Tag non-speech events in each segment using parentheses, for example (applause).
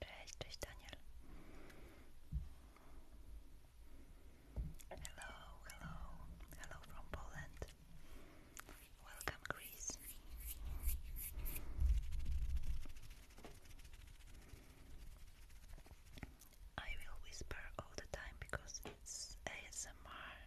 Cześć, cześć Daniel. Hello, hello, hello from Poland. Welcome, Greece. I will whisper all the time because it's ASMR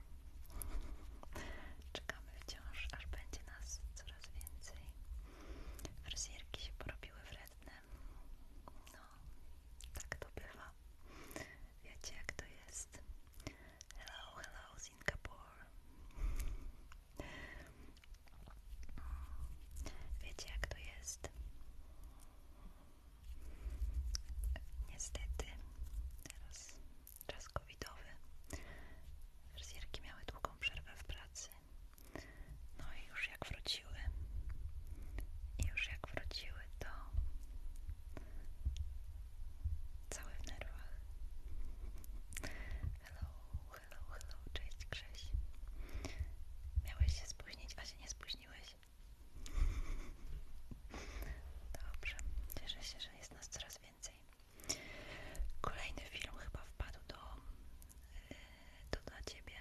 Czekamy wciąż, aż będzie nas coraz więcej. Fryzjerki się porobiły wredne. No, tak to bywa. Wiecie jak to jest. Hello, hello Singapore. Wiecie jak to jest. Niestety, teraz czas covidowy. Fryzjerki miały długą przerwę w pracy. No i już jak wróciły, i już jak wróciły, to cały w nerwach. Hello, hello, hello, cześć Krzyś. Miałeś się spóźnić, a się nie spóźniłeś. Dobrze, cieszę się, że jest nas coraz więcej? Kolejny film chyba wpadł do, do e, Ciebie,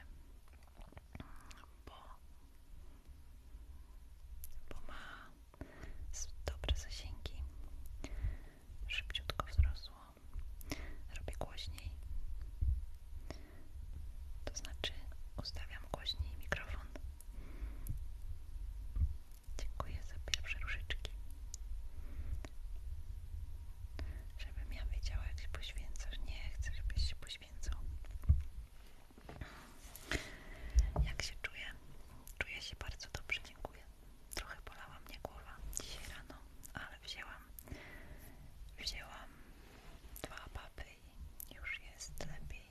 bo, bo ma dobre zasięgi, szybciutko wzrosło, robię głośniej, to znaczy ustawiam głośniej mikrofon. Dziękuję za pierwsze różyczki. Żebym ja wiedziała, jak się poświęcasz. Nie chcę, żebyś się poświęcał. Jak się czuję? Czuję się bardzo dobrze, dziękuję. Trochę bolała mnie głowa dzisiaj rano, ale wzięłam, wzięłam dwa papy i już jest lepiej.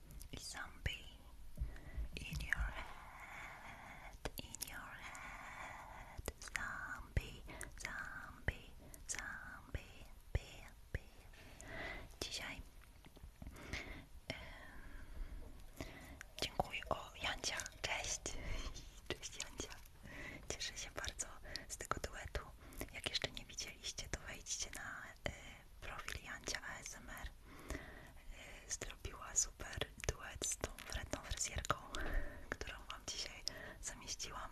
zombie in your head, in your head, zombie, zombie, zombie, bie, bie. Dzisiaj dziękuję. O, Jancia, cześć! (laughs) Cześć Jancia. Cieszę się bardzo z tego duetu. Jak jeszcze nie widzieliście, to wejdźcie na profil ASMR y, zrobiła super duet z tą wredną fryzjerką, którą Wam dzisiaj zamieściłam.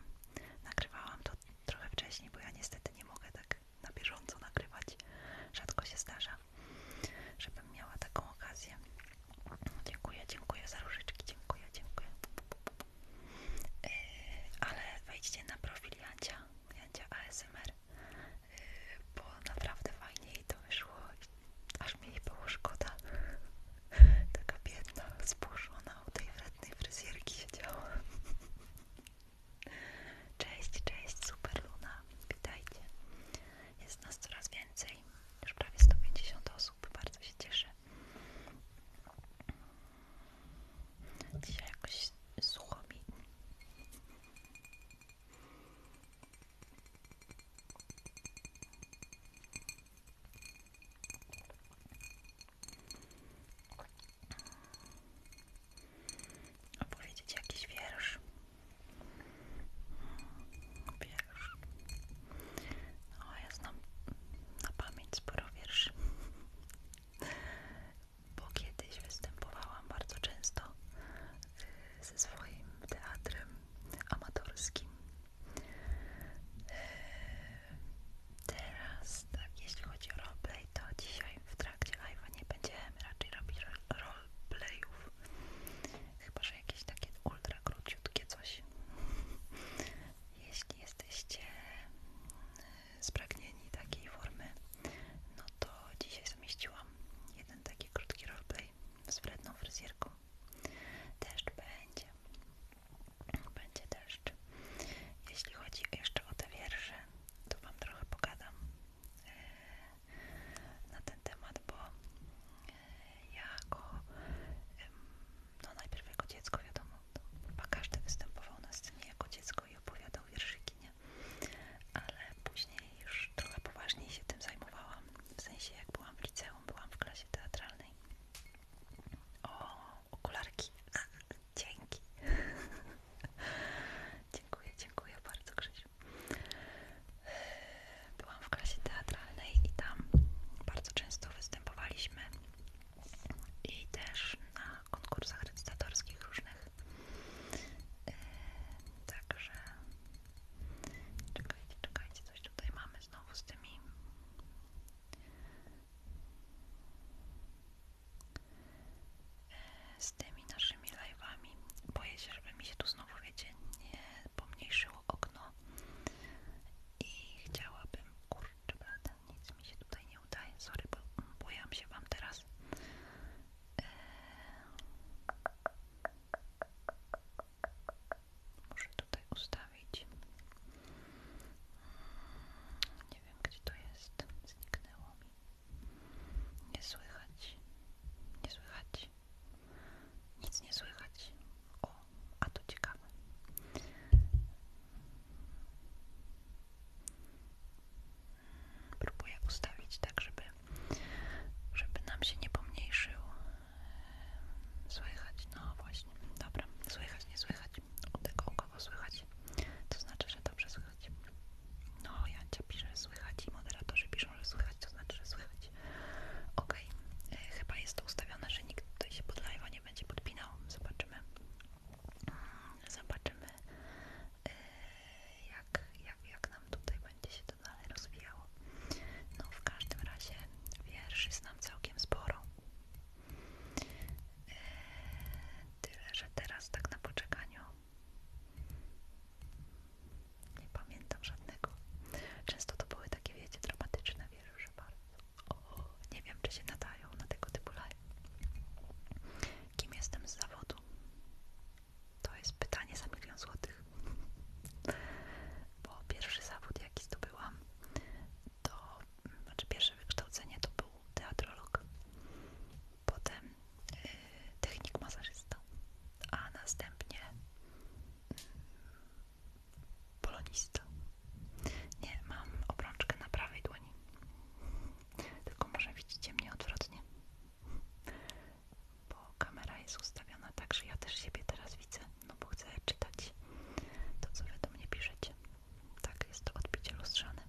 Nagrywałam to trochę wcześniej, bo ja niestety nie mogę tak na bieżąco nagrywać. Rzadko się zdarza, żebym miała taką okazję. Dziękuję, dziękuję za różyczki, dziękuję, dziękuję. Y, ale wejdźcie na profil Jancia, ASMR bo naprawdę fajnie jej to wyszło, aż mniej jej było szkoda. Taka biedna, spuszczona u tej wrednej fryzjerki siedziała. Cześć, cześć, super Luna, witajcie. Jest nas coraz więcej, już prawie 150 osób, bardzo się cieszę. Dzisiaj jakoś sucho mi opowiedzieć jakiś wiersz wiersz o, ja znam na pamięć sporo wierszy bo kiedyś występowałam bardzo często y, ze swoim teatrem amatorskim. Y, teraz, tak, jeśli chodzi o roleplay, to dzisiaj w trakcie live'a nie będziemy raczej robić roleplayów. Chyba, że jakieś takie ultra króciutkie coś. Jeśli jesteście y, spragnieni takiej formy, no to dzisiaj zamieściłam jeden taki krótki roleplay z wredną fryzjerką. Deszcz będzie. Będzie deszcz. Jeśli chodzi jeszcze o te wiersze, to Wam trochę pogadam e, na ten temat, bo e, jako no najpierw jako dziecko wiadomo, to chyba każdy występował na scenie jako dziecko i opowiadał wierszyki, nie? ale później już trochę poważniej się tym zajmowałam, w sensie jak byłam w liceum, byłam w klasie teatralnej. O, okularki, (laughs) dzięki. (laughs) dziękuję, dziękuję bardzo Krzysiu. E, byłam w klasie teatralnej i tam bardzo często występowaliśmy i też na konkursach recytatorskich różnych Yy, także czekajcie, czekajcie, coś tutaj mamy znowu z tymi. Yy, z tymi naszymi live'ami. Boję się, żeby mi się tu znowu, wiecie, nie pomniejszyło okno. I chciałabym, kurczę, brata, nic mi się tutaj nie udaje. Sorry, bo boję się Wam teraz. Muszę tutaj ustawić. Nie wiem, gdzie to jest. Zniknęło mi. Nie słychać. Nie słychać. Nic nie słychać. O, a to ciekawe. Próbuję ustawić tak, żeby, żeby nam się nie pomniejszył. Słychać, no właśnie, dobra, słychać, nie słychać. U tego słychać, to znaczy, że dobrze słychać. No, Jancia pisze, że słychać i moderatorzy piszą, że słychać, to znaczy, że słychać. Okej, okay. E, chyba jest to ustawione, że nikt tutaj się pod live'a nie będzie podpinał. Zobaczymy. Mm, zobaczymy, E, jak, jak, jak nam tutaj będzie się to dalej rozwijało. No w każdym razie wierszy znam całkiem sporo. E, tyle, że teraz tak na poczekaniu nie pamiętam żadnego. Często to były takie, wiecie, dramatyczne wiersze bardzo. nie wiem, czy się nadają na tego typu live. Kim jestem z zawodu? To jest pytanie za milion złotych. Bo pierwszy zawód, jaki zdobyłam, to znaczy pierwsze wykształcenie to był teatrolog, potem y, technik masażysta, a następnie y, polonista. Nie, mam obrączkę na prawej dłoni. Tylko może widzicie mnie odwrotnie bo kamera jest ustawiona tak, że ja też siebie teraz widzę, no bo chcę czytać to, co wy do mnie piszecie. Tak, jest to odbicie lustrzane.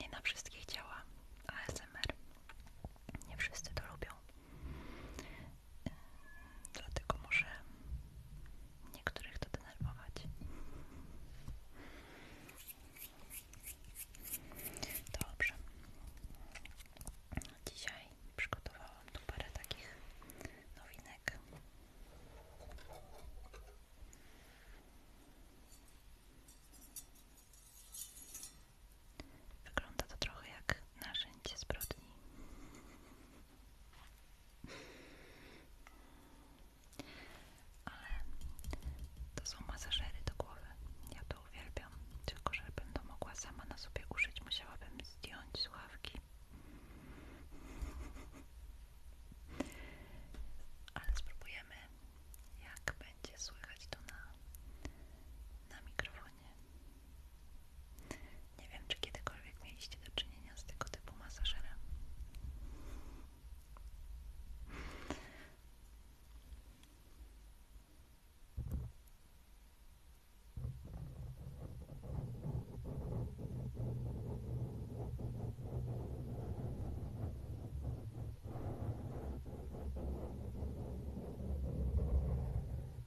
Nie na wszystkich działa ASMR. Nie wszyscy to lubią. Dlatego może niektórych to denerwować. Dobrze. Dzisiaj przygotowałam tu parę takich nowinek. Wygląda to trochę jak narzędzie zbrodni. Ale to są masażery do głowy. Ja to uwielbiam. Tylko, żebym to mogła sama na sobie uszyć, musiałabym zdjąć słuchawki. Ale spróbujemy, jak będzie słychać to na, na mikrofonie. Nie wiem, czy kiedykolwiek mieliście do czynienia z tego typu masażerem.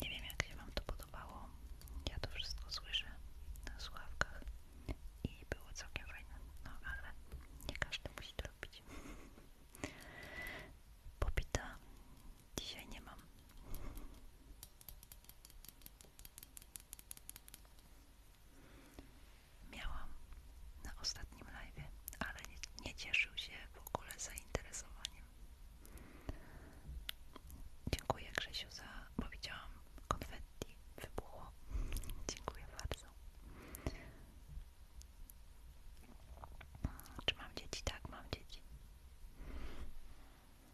Nie wiem, jak się Wam to podobało. Ja to wszystko słyszę na słuchawkach i było całkiem fajne. No ale nie każdy musi to robić. (laughs) Popita dzisiaj nie mam. Miałam na ostatnim live, ale nie, nie cieszył się w ogóle zainteresowaniem. Dziękuję Krzysiu za, bo widziałam konfetti wybuchło. Dziękuję bardzo. Czy mam dzieci? Tak, mam dzieci.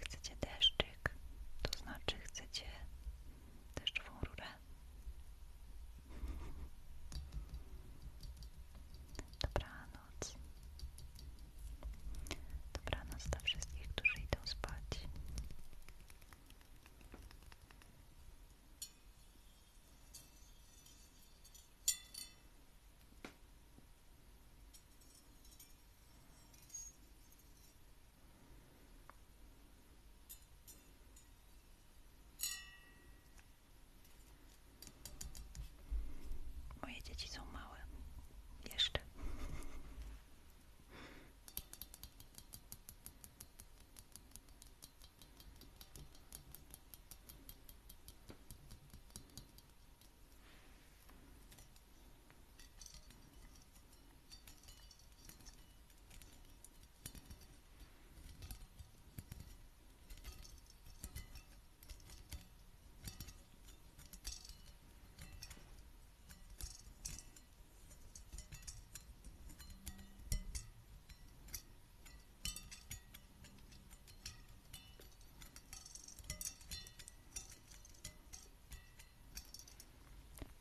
Chcecie deszczyk, to znaczy chcecie deszczową rurę. Dobranoc. Dobranoc dla wszystkich, którzy idą spać. Dobranoc. Moje dzieci są małe. Jeszcze.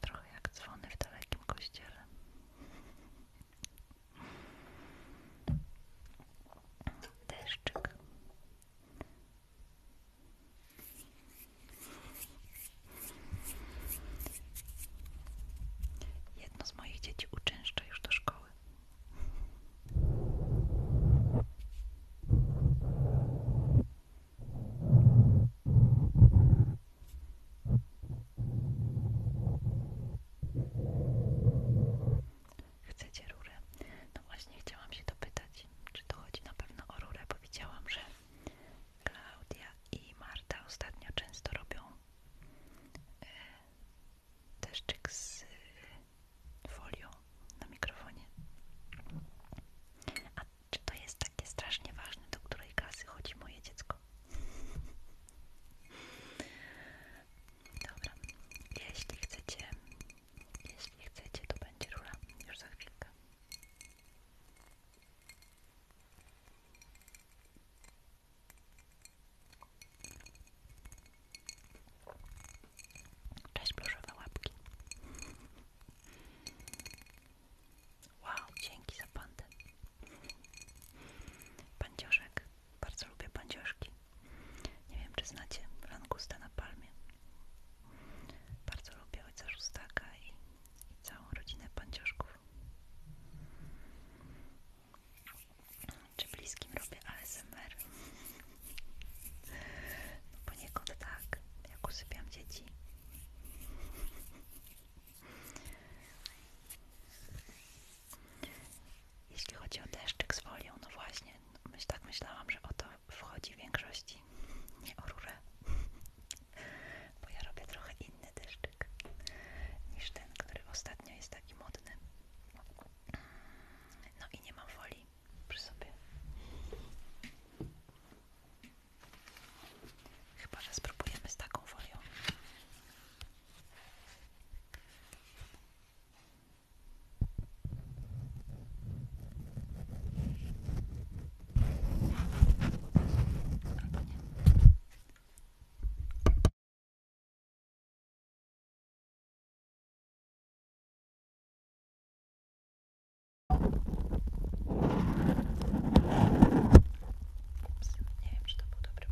Trochę jak dzwony w dalekim kościele deszczyk Jedno z moich dzieci uczęszcza już do szkoły. Chcecie rurę? No właśnie chciałam się dopytać, czy to chodzi na pewno o rurę, bo widziałam, że Klaudia i Marta ostatnio często robią yy, deszczyk z folią na mikrofonie. A czy to jest takie strasznie ważne, do której klasy chodzi moje dziecko? Dobra, jeśli chcecie, jeśli chcecie, to będzie rura już za chwilkę. Cześć, pluszowe łapki. Wow, dzięki za pandę. Pancioszek. Bardzo lubię pancioszki. Nie wiem, czy znacie langusta na palmie. Bardzo lubię ojca Szóstaka i, i całą rodzinę pancioszków. Czy bliskim robię ASMR? No poniekąd tak, jak usypiam dzieci. Jeśli chodzi o deszczyk z folią, no właśnie, myśl, tak myślałam, że o to wchodzi w większości, nie o rurę, (laughs) bo ja robię trochę inny deszczyk niż ten, który ostatnio jest taki modny. No i nie mam folii przy sobie. Chyba, że spróbujemy z taką folią. Упс, не вижу, что буду прям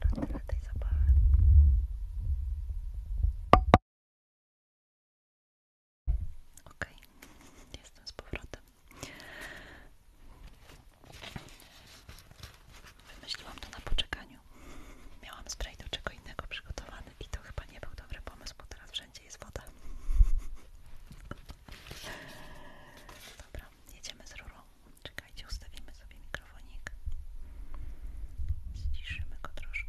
Dobra, tyle tej zabawy. Ok, jestem z powrotem. Wymyśliłam to na poczekaniu. Miałam spray do czego innego przygotowany i to chyba nie był dobry pomysł, bo teraz wszędzie jest woda. Dobra, jedziemy z rurą. Czekajcie, ustawimy sobie mikrofonik. Zciszymy go troszkę.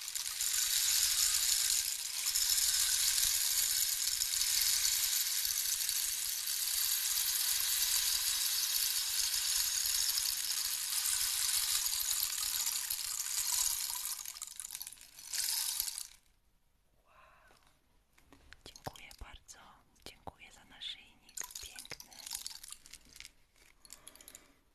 Dziękuję bardzo, dziękuję za naszyjnik piękny.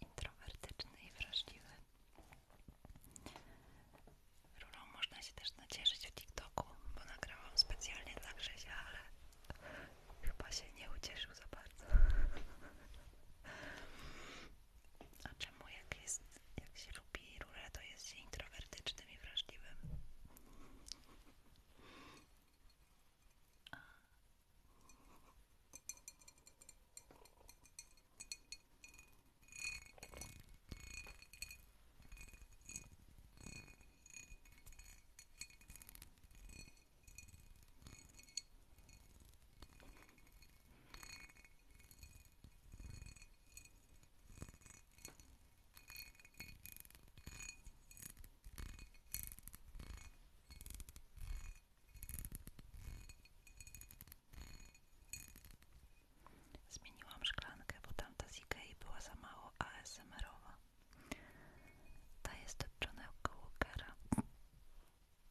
Introwertyczny i wrażliwy. Rurą można się też nacieszyć w TikToku, bo nagrałam specjalnie dla Grzesia, ale chyba się nie ucieszył za bardzo. A czemu jak, jest, jak się lubi rurę, to jest się i wrażliwym? Zmieniłam szklankę, bo tamta z Ikei była za mało a owa Ta jest od Johna Walkera.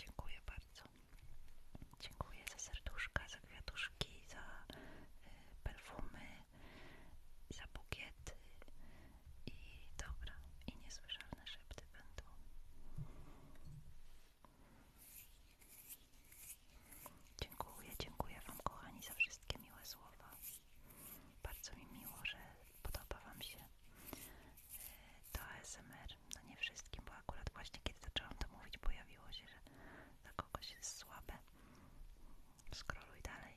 Dziękuję bardzo. Dziękuję za serduszka, za kwiatuszki, za y, perfumy, za bukiety i dobra, i niesłyszalne szepty będą. Dziękuję, dziękuję Wam kochani za wszystkie miłe słowa. Bardzo mi miło, że podoba Wam się e, to ASMR. No nie wszystkim, bo akurat właśnie kiedy zaczęłam to mówić, pojawiło się, że dla kogoś jest słabe. Skroluj dalej.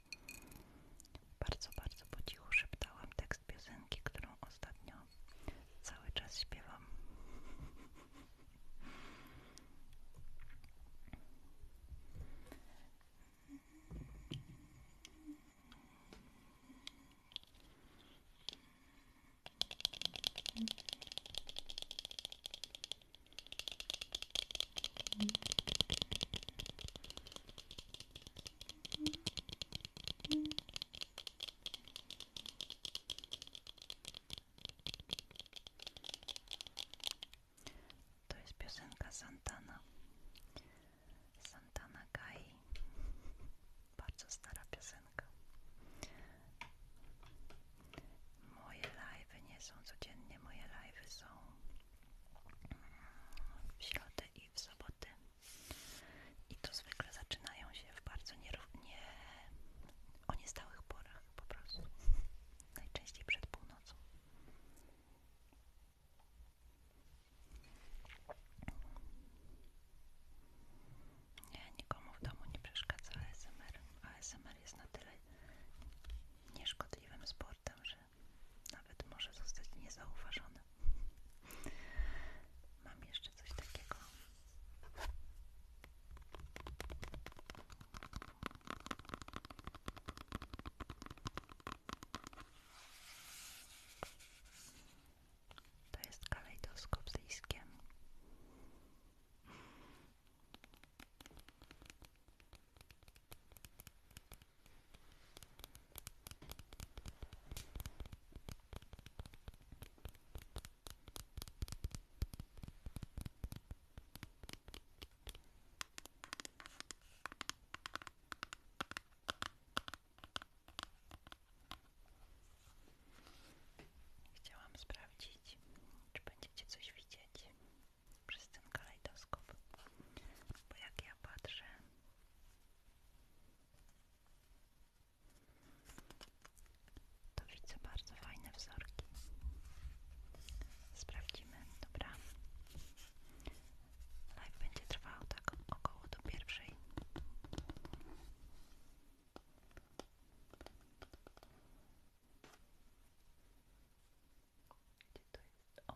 Bardzo, bardzo po cichu szeptałam tekst piosenki, którą ostatnio cały czas śpiewam. To jest piosenka Santana. Santana Kai. Bardzo stara piosenka. Moje live nie są codziennie, moje live są w środę i w soboty i to zwykle zaczynają się w bardzo nierównie o niestałych porach po prostu (laughs) najczęściej przed północą nie, nikomu w domu nie przeszkadza ASMR ASMR jest na tyle nieszkodliwym społecznie że nawet może zostać niezauważony. Mam jeszcze coś takiego. To jest kalejdoskop z Chciałam sprawdzić, czy będziecie coś widzieć przez ten kalejdoskop. Bo jak ja patrzę, to widzę bardzo fajne wzorki. Sprawdzimy, dobra. Live będzie trwał tak około do pierwszej. Gdzie to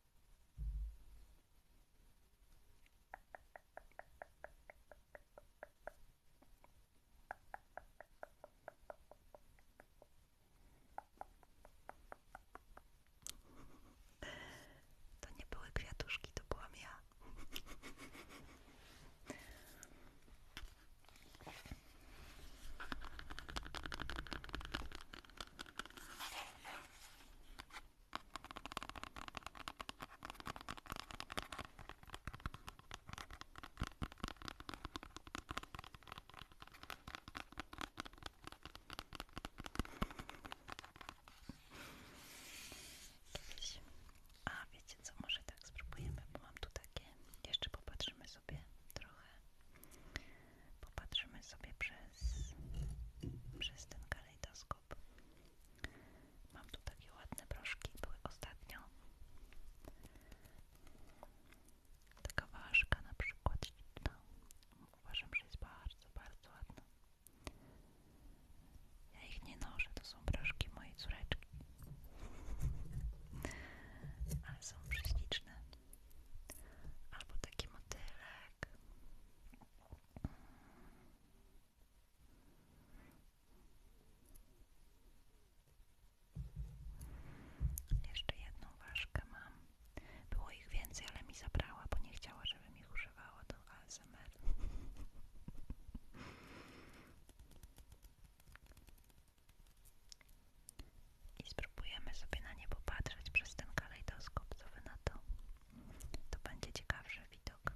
To nie były kwiatuszki, to byłam ja. A wiecie co, może tak spróbujemy, bo mam tu takie. Jeszcze popatrzymy sobie trochę. Popatrzymy sobie przez, przez ten karton kalejdoskop. Mam tu takie ładne proszki, były ostatnio. Taka ważka na przykład śliczna. No, uważam, że jest bardzo, bardzo ładna. Ja ich nie noszę, to są proszki mojej córeczki. (laughs) Ale są prześliczne. Albo taki motylek. Jeszcze jedną ważkę mam. Było ich więcej, ale mi zabrała, bo nie chciała, żebym ich używała do ASMR. I spróbujemy sobie na nie popatrzeć przez ten kalejdoskop, co wy na to. To będzie ciekawszy widok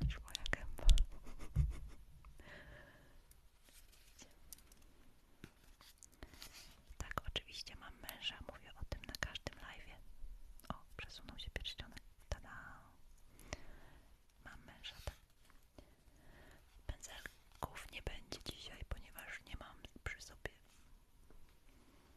niż moja gęba. Tak, oczywiście mam męża, mówię o tym na każdym live'ie. O, przesunął się pierścionek. Tada! Mam męża, tak. Pędzelków nie będzie dzisiaj, ponieważ nie mam przy sobie.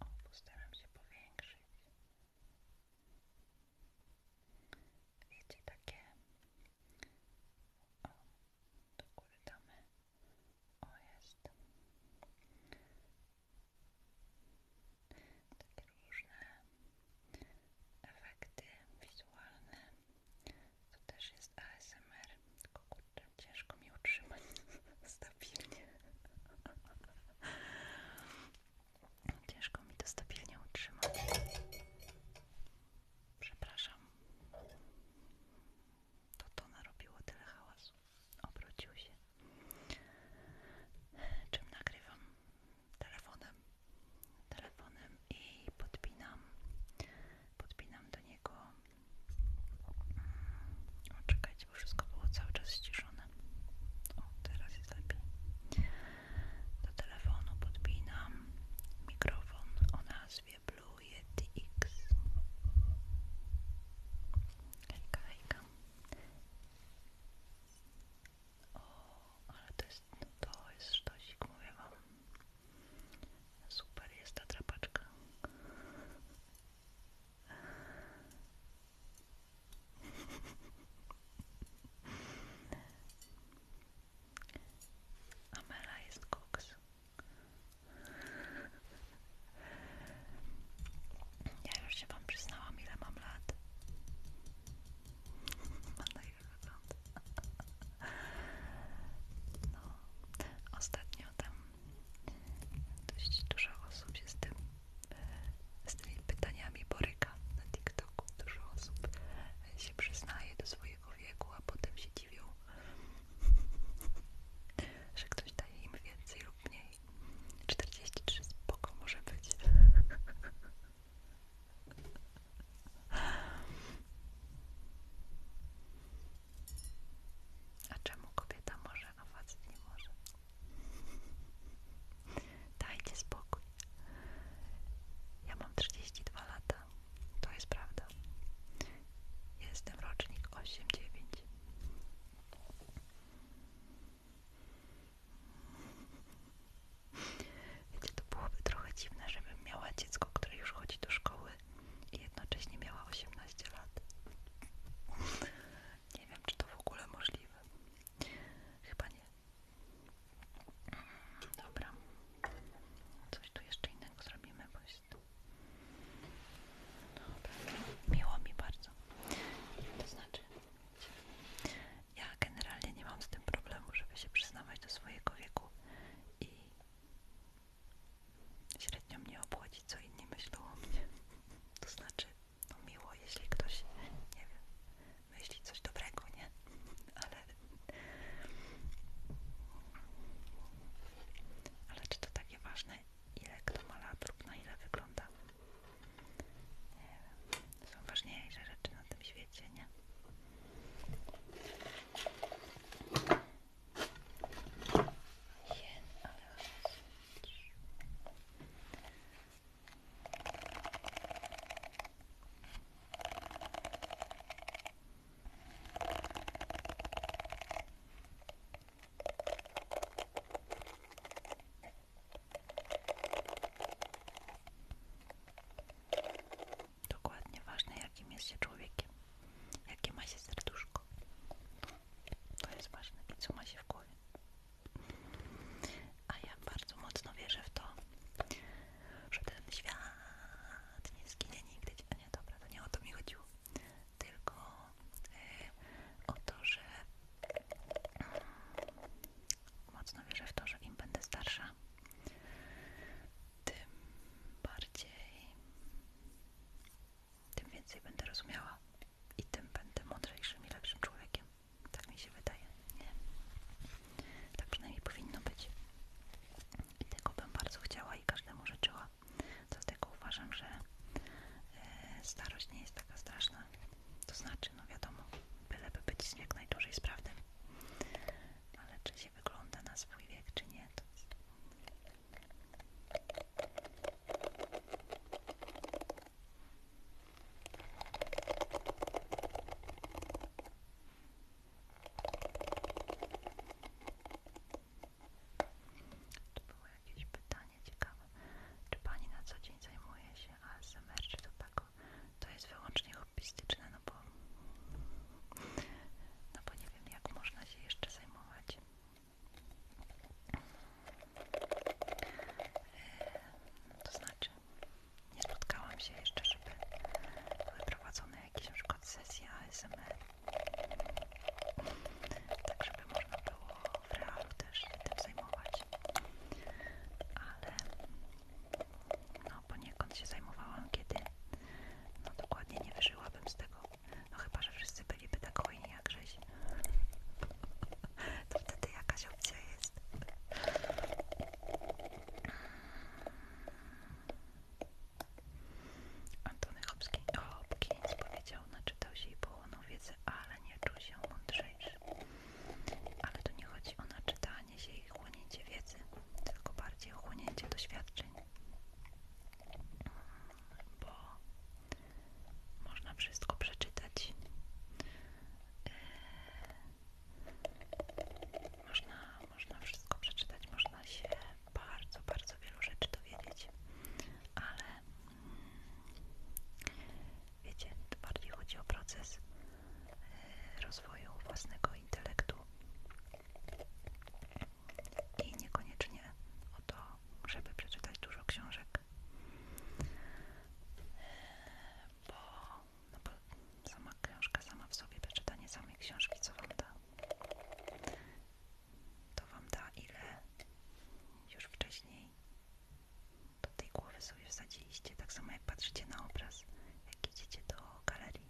O, postaram się powiększyć. Wiecie, takie... O, do góry damy. jest. Takie różne efekty wizualne. To też jest ASMR, tylko kurczę, Ciężko mi utrzymać (laughs) stabilnie. Ciężko mi to stabilnie utrzymać. Przepraszam. To to narobiło tyle hałasu. Obrócił się. Czym nagrywam? Telefonem. Telefonem i podpinam. Podpinam do niego o, czekajcie, bo wszystko było cały czas ściszone. O, teraz jest lepiej. Do telefonu podpinam mikrofon o nazwie Blue Yeti X. Hejka, hejka. O, ale to jest, no to jest sztosik, mówię wam. Super jest ta trapaczka. Amela jest koks. Ja już się wam przyznałam, ile mam lat. Mam na ile ostatnio tam Dość dużo osób się z tymi pytaniami boryka na TikToku. Dużo osób się przyznaje do swojego wieku, a potem się dziwią, że ktoś daje im więcej lub mniej. 43 spoko może być. A czemu kobieta może, a facet nie może? Dajcie spokój. Ja mam 32 lata. To jest prawda. Jestem rocznik 8-9. Wiecie, to byłoby trochę dziwne, żebym miała dziecko, które już chodzi do szkoły i jednocześnie miała 18 lat. Nie wiem, czy to w ogóle możliwe. Chyba nie. Dobra. Coś tu jeszcze innego zrobimy, po prostu. Dobra. Miło mi bardzo. To znaczy, ja generalnie nie mam z tym problemu, żeby się przyznawać do swojego wieku i Średnio mnie obchodzi, co inni myślą o mnie. To znaczy, no miło, jeśli ktoś, nie wiem, myśli coś dobrego, nie? Ale... Ale czy to takie ważne, ile kto ma lat na ile wygląda? Nie wiem. Są ważniejsze rzeczy na tym świecie, nie? Jen, ale... Dokładnie ważne, jakim jest się człowiekiem, jakie ma się serduszko. To jest ważne, co ma się w głowie. A ja bardzo mocno wierzę w to, że ten świat nie zginie nigdy. A nie, dobra, to nie o to mi chodziło. Tylko e, o to, że mm, mocno wierzę w to, że im będę starsza, tym bardziej tym więcej będę rozumiała i tym będę mądrzejszym i lepszym człowiekiem. Tak mi się wydaje, nie? Tak przynajmniej powinno być. I tego bym bardzo chciała i każdemu życzyła. Dlatego uważam, że e, starość nie jest taka straszna. To znaczy, no wiadomo, byleby być jak najdłużej sprawnym. Ale czy się wygląda na swój wiek, czy nie, to to było jakieś pytanie ciekawe? Czy Pani na co dzień zajmuje się ASMR czy tobacco? Tak to jest wyłącznie hobbystyczne, no bo, no bo nie wiem jak można się jeszcze zajmować E, to znaczy, nie spotkałam się jeszcze, żeby były prowadzone jakieś na przykład sesje ASMR. Tak, żeby można było w realu też się tym zajmować. Ale no poniekąd się zajmowałam, kiedy no dokładnie nie wyżyłabym z tego no chyba, że wszyscy byliby tak hojni jak Grześ. To wtedy jakaś opcja jest. Antony Hopkins powiedział, naczytał się i połonął wiedzy ale nie czuł się mądrzejszy. Ale tu nie chodzi o naczytanie się i chłonięcie wiedzy, tylko bardziej o chłonięcie doświadczeń. Bo można wszystko przeczytać. Yy, można, można wszystko przeczytać, można się bardzo, bardzo wielu rzeczy dowiedzieć, ale mm, wiecie, bardziej chodzi o proces yy, rozwoju własnego intelektu i niekoniecznie o to, żeby przeczytać dużo książek. Bo, no bo sama książka sama w sobie, przeczytanie samej książki, co wam da? To wam da ile już wcześniej do tej głowy sobie wsadziliście. Tak samo jak patrzycie na obraz, jak idziecie do galerii,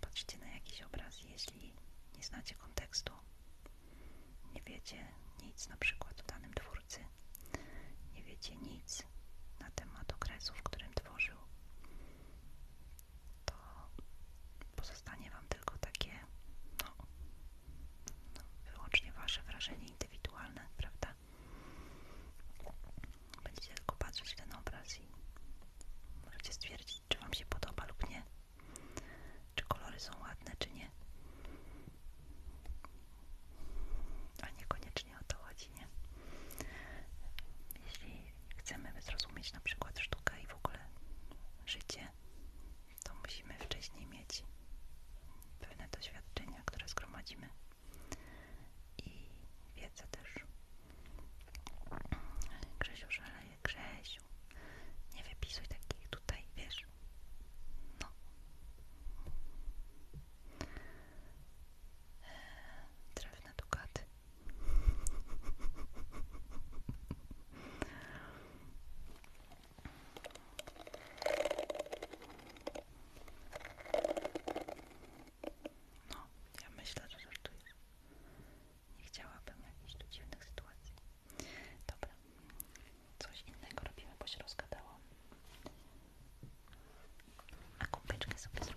patrzycie na jakiś obraz, jeśli nie znacie kontekstu, nie wiecie nic na przykład o danym twórcy. Nie wiecie nic na temat okresu, w którym tworzył. To pozostanie Wam tylko takie, no, no wyłącznie Wasze wrażenie indywidualne, prawda? Będziecie tylko patrzeć w ten obraz i możecie stwierdzić, czy Wam się podoba lub nie. Czy kolory są ładne, czy nie? A niekoniecznie o to chodzi, nie? Jeśli chcemy zrozumieć na przykład sztukę i w ogóle życie, to musimy wcześniej mieć pewne doświadczenia, które zgromadzimy i wiedzę też. Grzesiu szaleje, Grzesiu, nie wypisuj takich tutaj, wiesz, wiesz. No. No, ja myślę, że żartujesz. Nie chciałabym jakichś tu dziwnych sytuacji. Dobra, coś innego robimy, bo się rozgadało. A kubeczkę sobie zrobimy.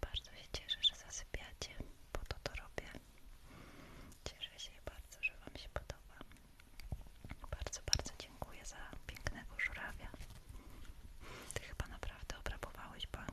Bardzo się cieszę, że zasypiacie, bo to to robię. Cieszę się bardzo, że Wam się podoba. Bardzo, bardzo dziękuję za pięknego żurawia. Ty chyba naprawdę obrabowałeś bank.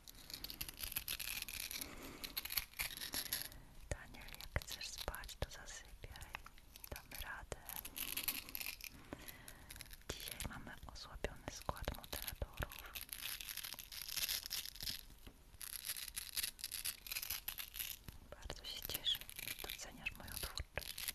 Daniel, jak chcesz spać, to zasypiaj. Dam radę. Dzisiaj mamy osłabiony skład moderatorów. Bardzo się cieszę, że doceniasz moją twórczość.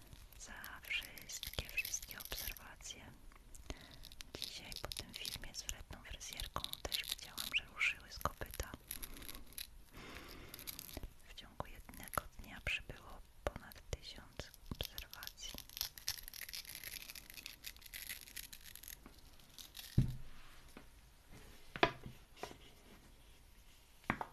za wszystkie, wszystkie obserwacje. Dzisiaj po tym filmie z wredną fryzjerką też widziałam, że ruszyły z kopyta. W ciągu jednego dnia przybyło ponad tysiąc obserwacji.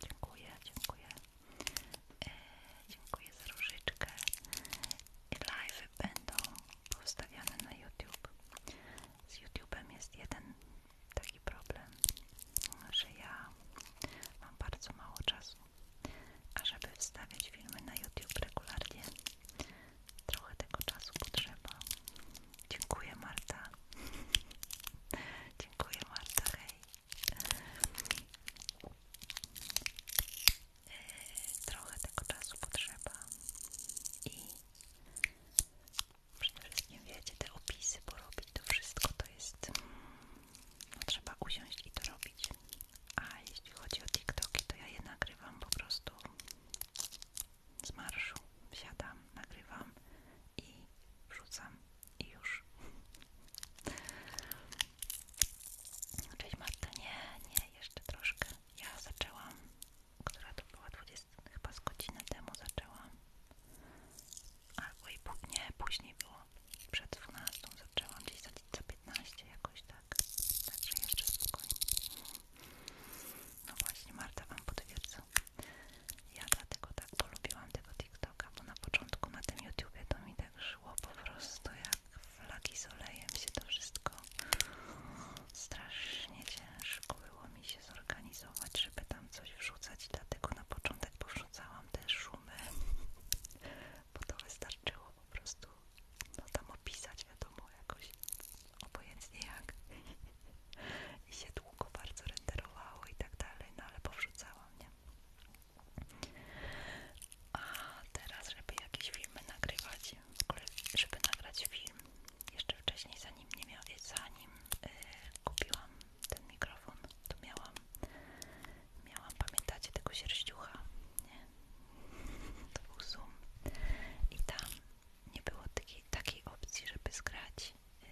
Dziękuję, dziękuję. E, dziękuję za różyczkę. Live będą powstawiane na YouTube. Z YouTube'em jest jeden taki problem, że ja mam bardzo mało czasu. A żeby wstawiać filmy na YouTube regularnie, trochę tego czasu potrzeba. Dziękuję Marta. (laughs) Dziękuję Marta, hej. Trochę tego czasu potrzeba i przede wszystkim wiecie, te opisy porobić, to wszystko to jest, no, trzeba usiąść i to robić. A jeśli chodzi o TikToki, to ja je nagrywam po prostu z marszu. Siadam, nagrywam i wrzucam już. Cześć Marta, nie, nie, jeszcze troszkę. Ja zaczęłam, która to była 20, chyba z godzinę temu zaczęłam. Albo i później było. Przed 12 zaczęłam, gdzieś za, 15 jakoś tak. Także jeszcze spokojnie. No właśnie, Marta Wam potwierdza. Ja dlatego tak polubiłam tego TikToka bo na początku na tym YouTube'ie to mi tak szło po prostu jak flagi z olejem się to wszystko strasznie ciężko było mi się zorganizować, żeby tam coś wrzucać, dlatego na początek powrzucałam te szumy, bo to wystarczyło po prostu no tam opisać wiadomo jakoś obojętnie jak i się długo bardzo renderowało i tak dalej, no ale powrzucałam, nie? A teraz, żeby jakieś filmy nagrywać, w ogóle, żeby nagrać film, jeszcze wcześniej, zanim nie miał, zanim y, kupiłam ten mikrofon, to miałam, miałam, pamiętacie tego sierściucha, nie? To był Zoom i tam nie było takiej, takiej opcji, żeby zgrać y,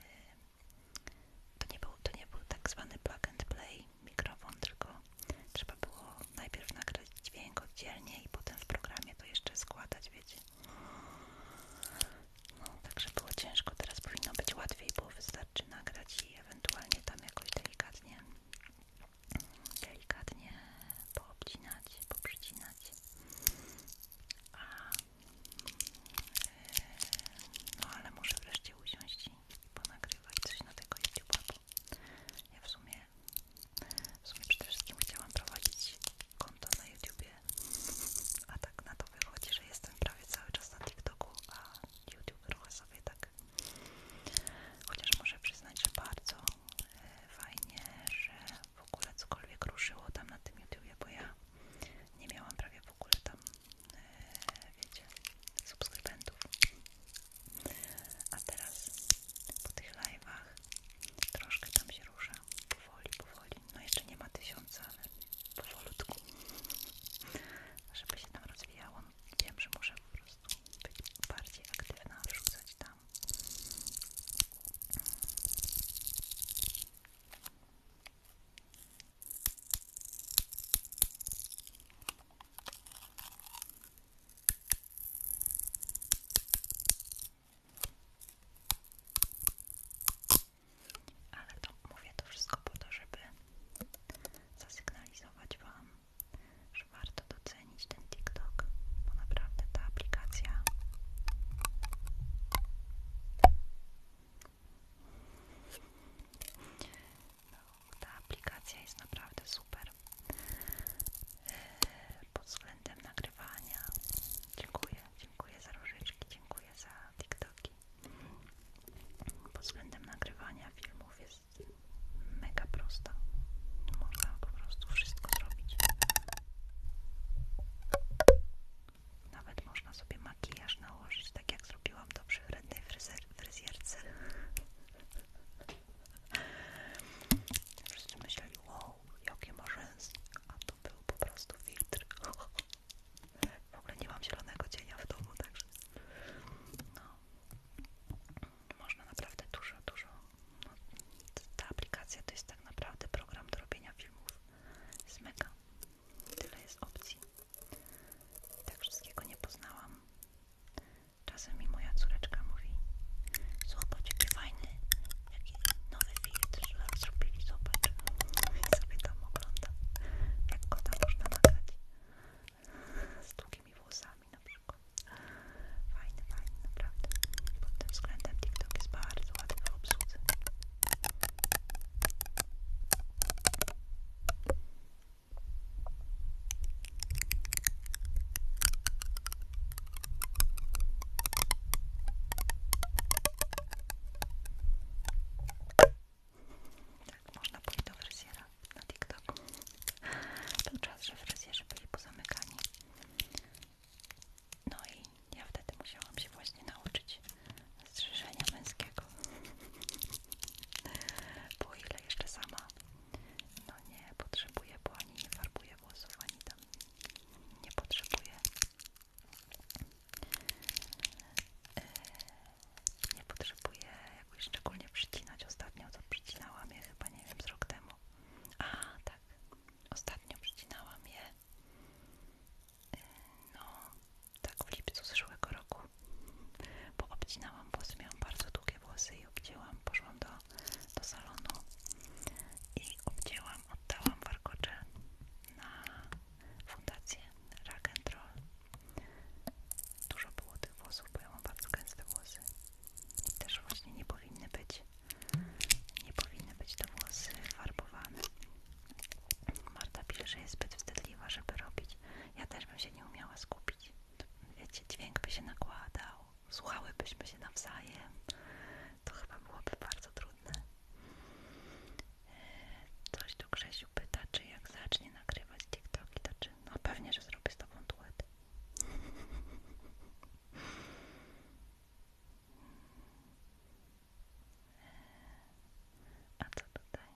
to nie, był, to nie był tak zwany plug and play mikrofon, tylko trzeba było najpierw nagrać dźwięk oddzielnie i potem w programie to jeszcze składać, wiecie. No, także było ciężko, teraz powinno być łatwiej, bo wystarczy nagrać i ewentualnie tam jakoś delikatnie delikatnie poobcinać, poprzycinać. A, yy, no ale muszę wreszcie usiąść dzieci ponagrywać coś na tego YouTube'a. Ja w sumie, w sumie przede wszystkim chciałam prowadzić konto na YouTubie, a tak na to wychodzi, że jestem prawie cały czas na TikToku, a YouTube trochę sobie tak. Chociaż muszę przyznać, że bardzo e, fajnie, że w ogóle cokolwiek ruszyło tam na tym YouTubie, bo ja nie miałam prawie w ogóle tam E, wiecie, subskrybentów. A teraz po tych live'ach troszkę tam się rusza. Powoli, powoli. No jeszcze nie ma tysiąca, ale powolutku. Żeby się tam rozwijało. No, wiem, że muszę po prostu być bardziej aktywna, wrzucać tam. Ale to mówię to wszystko po to, żeby zasygnalizować Wam, że warto docenić ten TikTok, bo naprawdę ta aplikacja no, ta aplikacja jest naprawdę super e, pod względem nagrywania. Dziękuję, dziękuję za różyczki, dziękuję za TikToki. Pod względem nagrywania filmów jest mega prosta. Można po prostu wszystko zrobić. Nawet można sobie makijaż nałożyć tak jak zrobiłam to przy wrednej fryzer, fryzjerce. Wszyscy myśleli, wow, jakie marzeństwo, a to był po prostu filtr. W ogóle nie mam zielonego cienia w domu, także no, można naprawdę dużo, dużo. No, ta aplikacja to jest tak naprawdę program do robienia filmów. Jest mega. Tyle jest opcji. Tak wszystkiego nie poznałam. Czasem mi moja córeczka mówi: Zobacz, jaki fajny, jaki nowy filtr zrobili, zobacz. I sobie tam oglądam, jak kota można nagrać z długimi włosami na przykład. Fajny, fajny, naprawdę. Pod tym względem TikTok jest bardzo ładny w obsłudze. Tak, można pójść do fryzjera na TikToku. Był czas, że fryzjerzy byli pozamykani. No i ja wtedy musiałam się właśnie nauczyć strzyżenia męskiego. Bo ile jeszcze sama? No nie potrzebuję, bo ani nie farbuje włosów, ani tam nie potrzebuję. E, nie potrzebuję jakoś szczególnie przycinać. Ostatnio to przycinałam je chyba, nie wiem, z rok temu. A, tak. Ostatnio przycinałam je. E, no, tak w lipcu zeszłego roku, bo obcinałam włosy, miałam bardzo długie włosy i obcięłam, poszłam do, do salonu i obcięłam, oddałam warkocze na fundację Rock and Roll. Dużo było tych włosów, bo ja mam bardzo gęste włosy i też właśnie nie powinny być, nie powinny być te włosy farbowane. Marta pisze, że jest zbyt wstydliwa, żeby robić. Ja też bym się nie umiała skupić. Wiecie, dźwięk by się nakładał, słuchałybyśmy się nawzajem. To chyba byłoby bardzo trudne. E, coś tu Grzesiu pyta, czy jak zacznie nagrywać TikToki, to czy... No pewnie, że zrobię z Tobą duet. E, a co tutaj?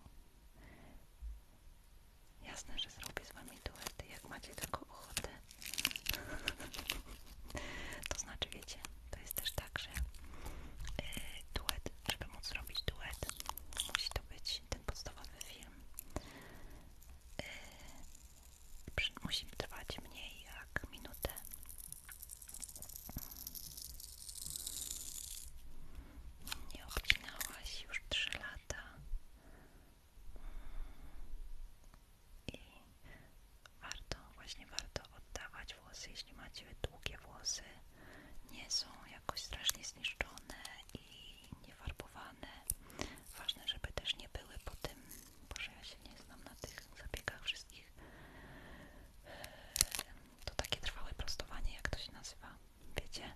Jasne, że zrobię z wami duet. jak macie tylko ochotę. (laughs) to znaczy, wiecie, to jest też tak, że e, duet, żeby móc zrobić duet, musi to być ten podstawowy film. Yy, musi trwać mniej jak minutę nie obcinałaś już 3 lata i warto, właśnie warto oddawać włosy, jeśli macie długie włosy, nie są jakoś strasznie zniszczone i niefarbowane. Ważne, żeby też nie były po tym, bo ja się nie znam na tych zabiegach wszystkich, to takie trwałe prostowanie, jak to się nazywa. Wiecie?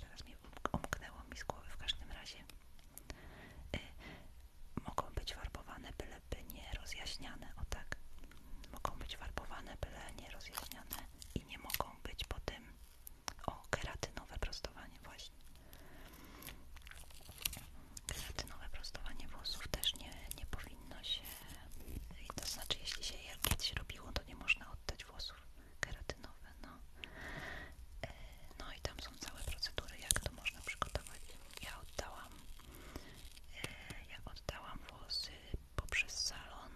Teraz mi um- umknęło mi z głowy w każdym razie. Y, mogą być warbowane, by nie rozjaśniane. O tak. Mogą być warbowane, byle nie rozjaśniane. I nie mogą być po tym. O, keratynowe prostowanie, właśnie. Keratynowe prostowanie włosów też nie, nie powinno się. To znaczy, jeśli się jakieś robiło, to nie można oddać włosów wzór keratynowy, no. E, no i tam są całe procedury, jak to można przygotować. Ja oddałam, e, ja oddałam włosy poprzez salon,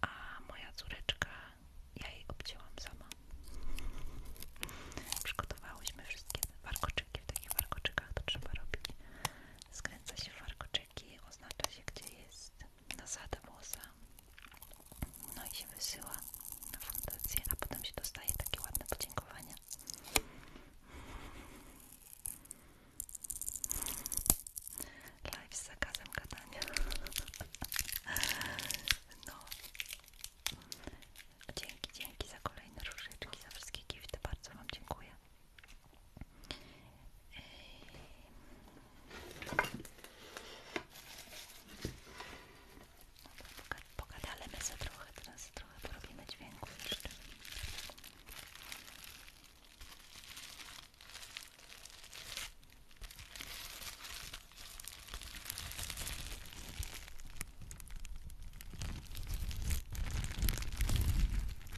a moja córeczka, ja jej obcięłam sama. Przygotowałyśmy wszystkie warkoczyki, w takich warkoczykach to trzeba robić. Skręca się warkoczyk Ameryki oznacza się gdzie jest nasada włosa no i się wysyła na fundację, a potem się dostaje takie ładne podziękowania live z zakazem gadania no dzięki, dzięki za kolejne różyczki, za wszystkie gifty bardzo Wam dziękuję Pogadamy za trochę, teraz trochę porobimy dźwięku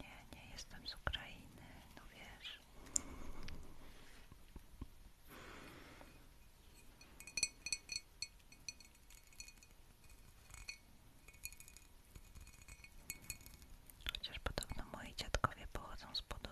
Nie, nie jestem z Ukrainy, no wiesz. Chociaż podobno moi dziadkowie pochodzą z Podola.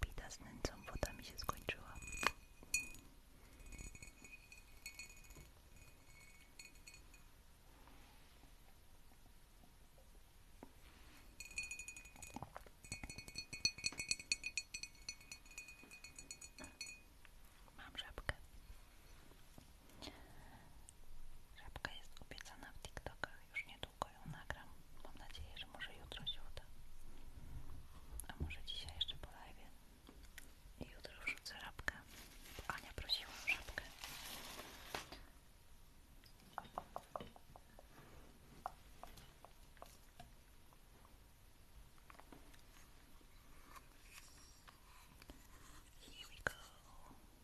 Pita z nęcą, woda mi się skończyła. Mam żabkę. Żabka jest obiecana w TikTokach, już niedługo ją nagram. Mam nadzieję, że może jutro się uda. A może dzisiaj jeszcze po I jutro wrzucę żabkę. Bo Ania prosiła o żabkę. Here we go.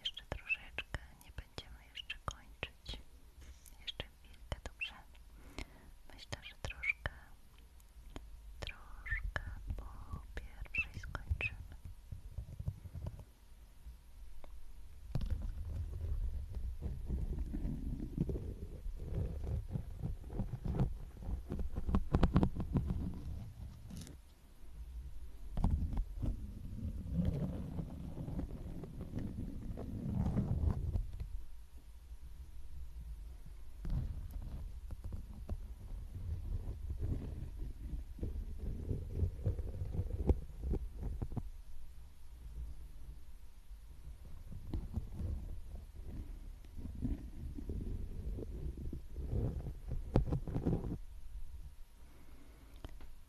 Jeszcze troszeczkę, nie będziemy jeszcze kończyć. Jeszcze chwilkę, dobrze? Myślę, że troszkę troszkę po pierwszej skończymy.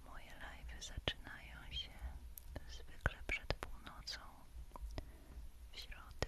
Moje live'y zaczynają się zwykle przed północą w środę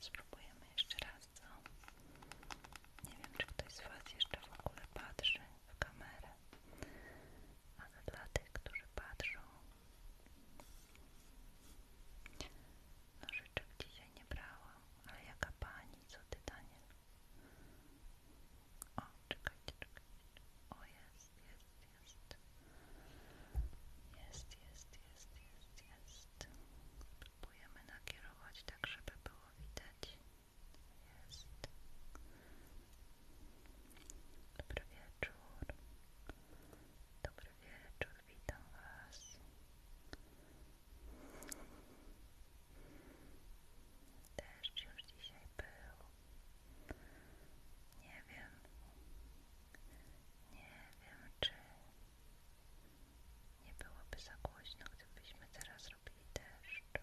Spróbujemy jeszcze raz, Nie wiem, czy ktoś z Was jeszcze w ogóle patrzy w kamerę, ale dla tych, którzy patrzą, no rzeczek dzisiaj nie brałam, ale jaka pani, co Ty, Daniel? O, czekajcie, czekajcie, o jest, jest, jest. Jest, jest, jest, jest, jest. Próbujemy nakierować tak, żeby było widać. Jest. Dobry wieczór. Dobry wieczór, witam Was. Też już dzisiaj był. Nie wiem, nie wiem, czy nie byłoby za głośno, gdybyśmy teraz robili deszcz.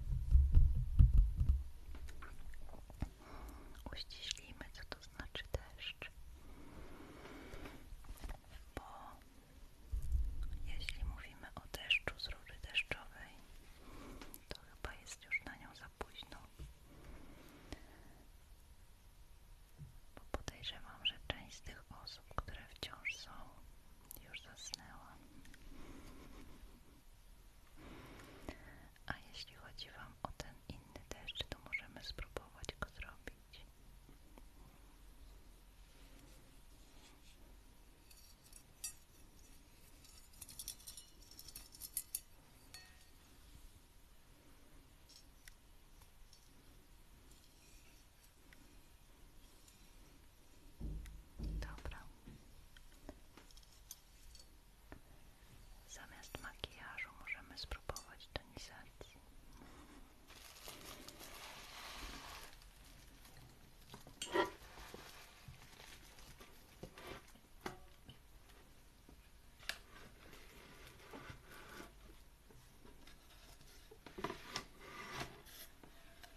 Uściślimy, co to znaczy deszcz. Bo jeśli mówimy o deszczu z rury deszczowej, to chyba jest już na nią za późno. Bo podejrzewam, że część z tych osób, które wciąż są już zasnęła. A jeśli chodzi Wam o ten inny deszcz, to możemy spróbować go zrobić. Dobra. Zamiast makijażu możemy spróbować tonizacji.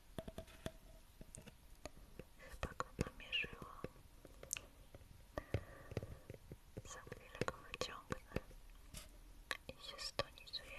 Chyba tak go pomierzyło. Za chwilę go wyciągnę i się stonizujemy.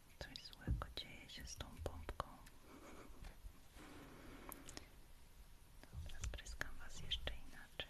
Coś złego dzieje się z tą pompką. Dobra, spryskam Was jeszcze inaczej.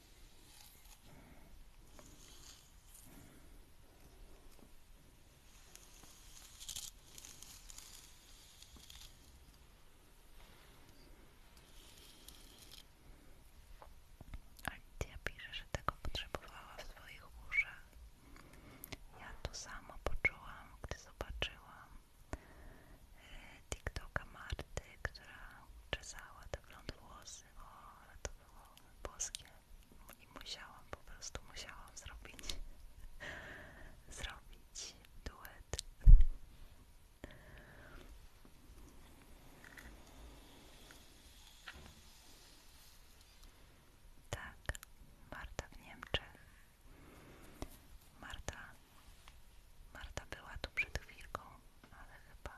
Alicja pisze, że tego potrzebowała w swoich uszach. Ja to samo poczułam, gdy zobaczyłam e, TikToka Marty, która czesała te blond włosy ale to było boskie i musiałam, po prostu musiałam zrobić (laughs) zrobić duet. Tak, Marta w Niemczech. Marta, Marta była tu przed chwilką, ale chyba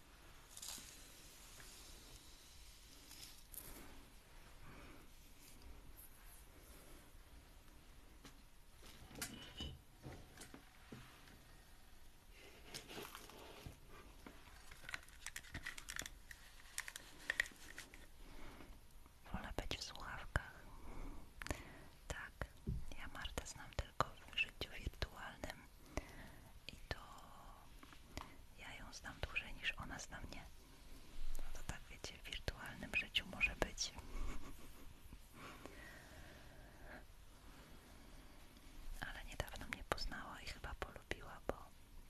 Wolę być w słuchawkach. Tak, ja Martę znam tylko w życiu wirtualnym i to ja ją znam dłużej niż ona zna mnie. No to tak wiecie, w wirtualnym życiu może być. Ale niedawno mnie poznała i chyba polubiła, bo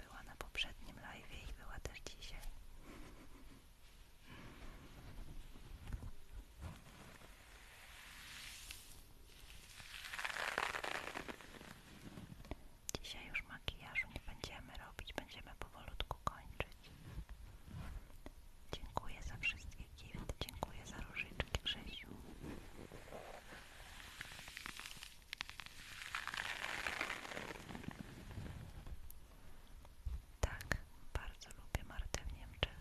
była na poprzednim live'ie i była też dzisiaj. Dzisiaj już makijażu nie będziemy robić, będziemy powolutku kończyć. Dziękuję za wszystkie gifty, dziękuję za różyczki Grzesiu. Tak, bardzo lubię Martę w Niemczech.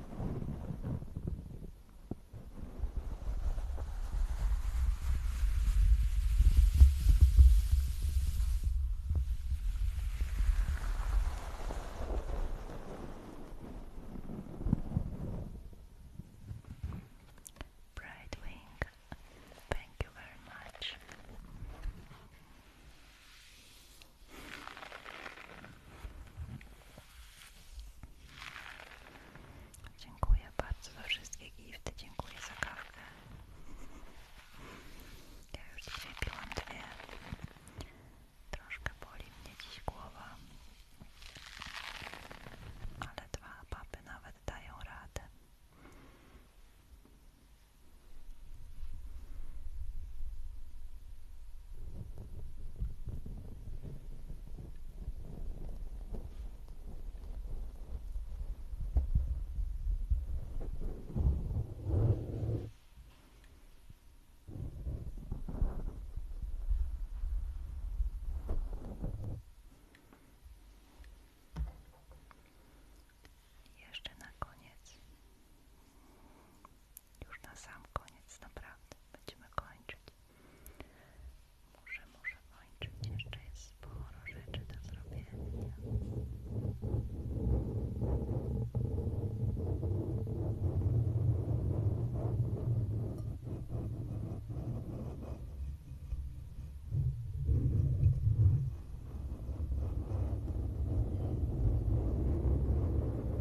Brightwing, thank you very much. Dziękuję bardzo za wszystkie gifty, dziękuję za kawkę. Ja już dzisiaj piłam dwie. Troszkę boli mnie dziś głowa, ale dwa papy nawet dają radę. Jeszcze na koniec już na sam koniec, naprawdę, będziemy kończyć. Muszę, muszę kończyć, jeszcze jest sporo rzeczy do zrobienia. Dziękuję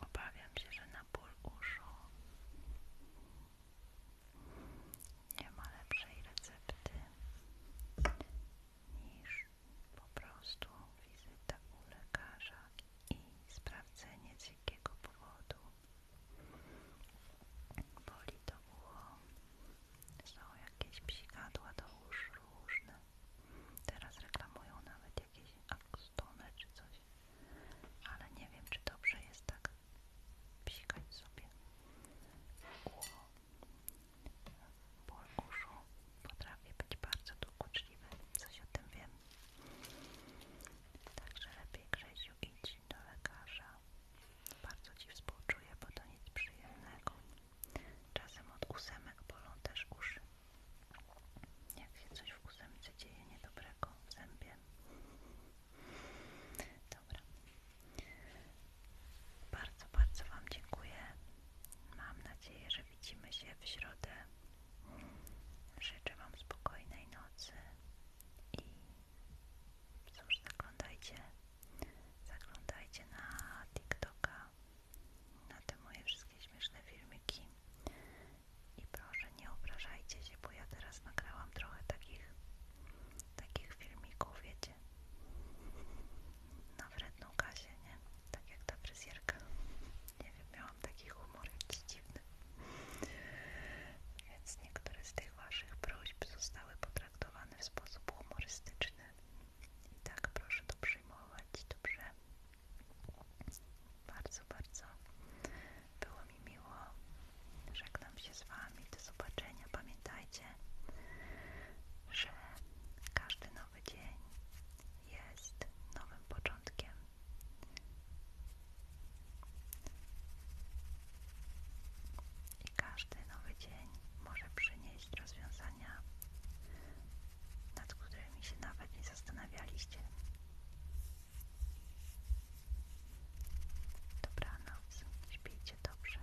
Obawiam się, że na ból nie ma lepszej recepty niż po prostu wizytę u lekarza i sprawdzenie z jakiego powodu Boli to ucho. Są jakieś psikadła do uszu różne. Teraz reklamują nawet jakieś akustone czy coś. Ale nie wiem, czy dobrze jest tak psikać sobie ucho. Ból uszu potrafi być bardzo dokuczliwy. Coś o tym wiem. Także lepiej Grzesiu idź do lekarza. Bardzo Ci współczuję, bo to nic przyjemnego. Czasem od ósemek bolą też uszy. Jak się coś w ósemce dzieje niedobrego w zębie. Dobra. Bardzo, bardzo Wam dziękuję. Mam nadzieję, że widzimy się w środę Życzę Wam spokojnej nocy i cóż, zaglądajcie, zaglądajcie na TikToka, na te moje wszystkie śmieszne filmiki i proszę nie obrażajcie się, bo ja teraz nagrałam trochę takich, takich filmików, wiecie, na wredną Kasię, nie? Tak jak ta fryzjerka. Nie wiem, miałam taki humor jakiś dziwny. Więc niektóre z tych Waszych prośb zostały potraktowane w sposób humorystyczny. I tak proszę to przyjmować, dobrze? Bardzo, bardzo było mi miło. Żegnam się z Wami. Do zobaczenia. Pamiętajcie, że każdy nowy dzień jest nowym początkiem i każdy nowy dzień może przynieść rozwiązania, nad którymi się nawet nie zastanawialiście. Dobranoc, śpijcie dobrze.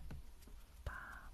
Pa.